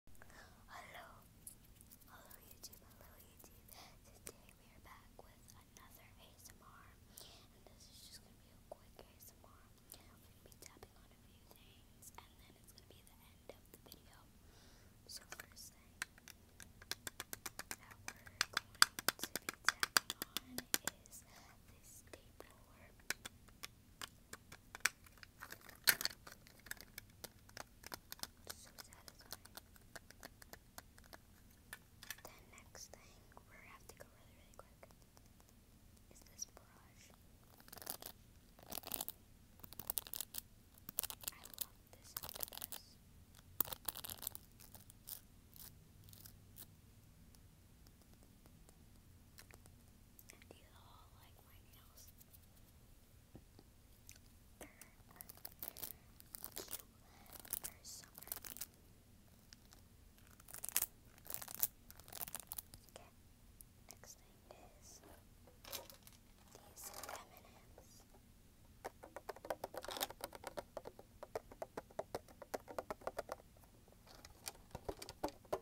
Hello, hello YouTube, hello YouTube. Today we are back with another ASMR, and this is just gonna be a quick ASMR. We're gonna be tapping on a few things, and then it's gonna be the end of the video. So first thing that we're going to be tapping on is this tape so satisfying. The next thing we have to go really, really quick is this brush. I love this octopus. And like like my nails. They're, they're cute. They're summer. Okay, next thing is these M&Ms. I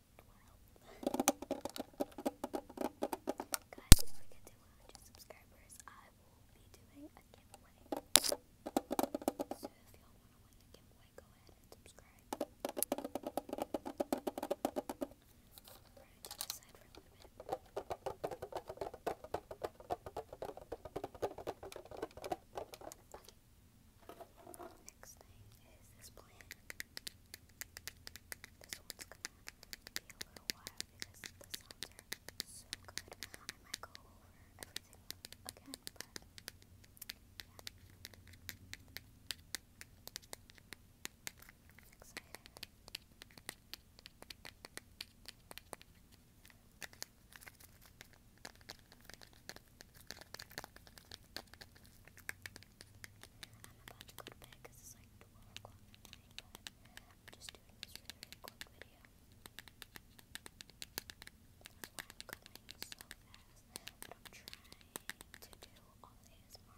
Guys, if we get to 100 subscribers, I will be doing a giveaway. So if you want to win the go ahead subscribe. we Next thing is this plant. This one's gonna be a little while because the sounds so good. I might go over everything again, but yeah. Excited. I'm about to go to bed it's like 12 o'clock at night, I'm just doing this really, quick video. That's why I'm so fast, but I'm trying to do all the ASMR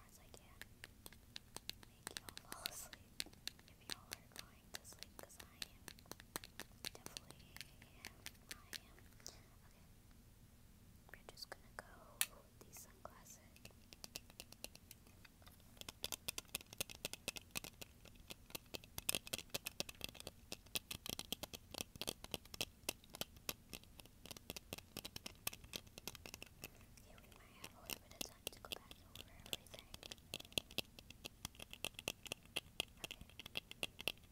as I can. Make y'all fall asleep if y'all are going to sleep, because I am. Definitely I am. Okay. We're just gonna go cool with these sunglasses. Okay, we might have a little bit of time to go back over everything. Okay.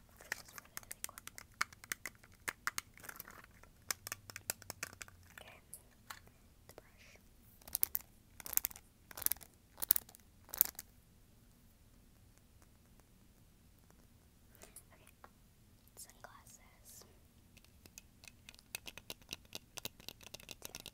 Okay, the brush. Okay, sunglasses. Didn't get really much done.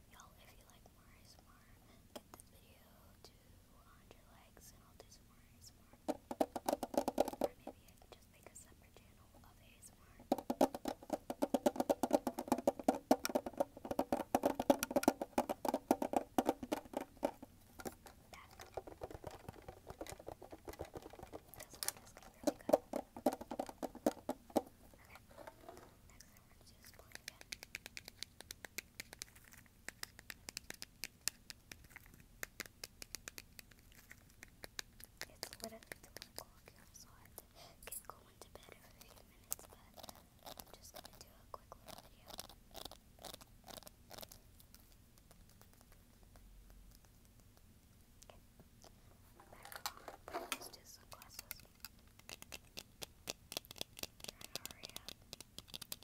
Y'all, if you like more ASMR, get this video to 100 likes and I'll do some more ASMR. Or maybe I can just make a separate channel of ASMR. That. That's what really good. It's literally 2 o'clock now, so I get going to bed for a few minutes, but just going to do a quick little video. Back on. Let's do sunglasses. Hurry up. Okay.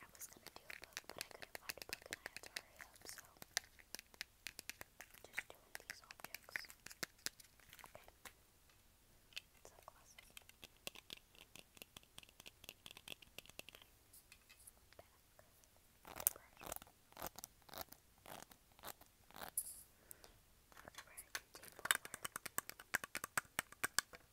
I was gonna do a book, but I couldn't find a book and I had to hurry up, so just doing these objects. Okay. Sunglasses. Back. Brush. Okay, we're gonna do more. Okay,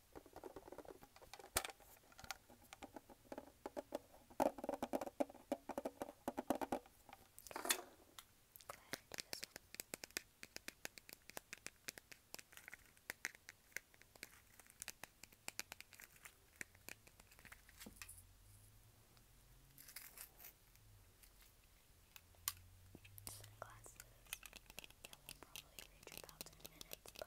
Sunglasses. Yeah, we'll probably reach about ten minutes, but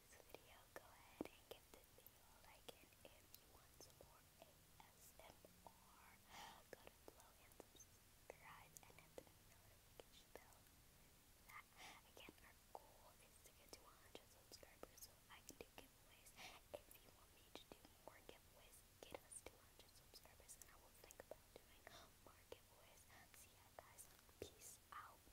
this go ahead and give this video a like, and if you want some more ASMR, go to below and subscribe, and hit the notification bell. That, again, our goal is to get to 100 subscribers so I can do giveaways. If you want me to do more giveaways, get us to 100 subscribers, and I will think about doing more giveaways. See ya, guys. Peace out.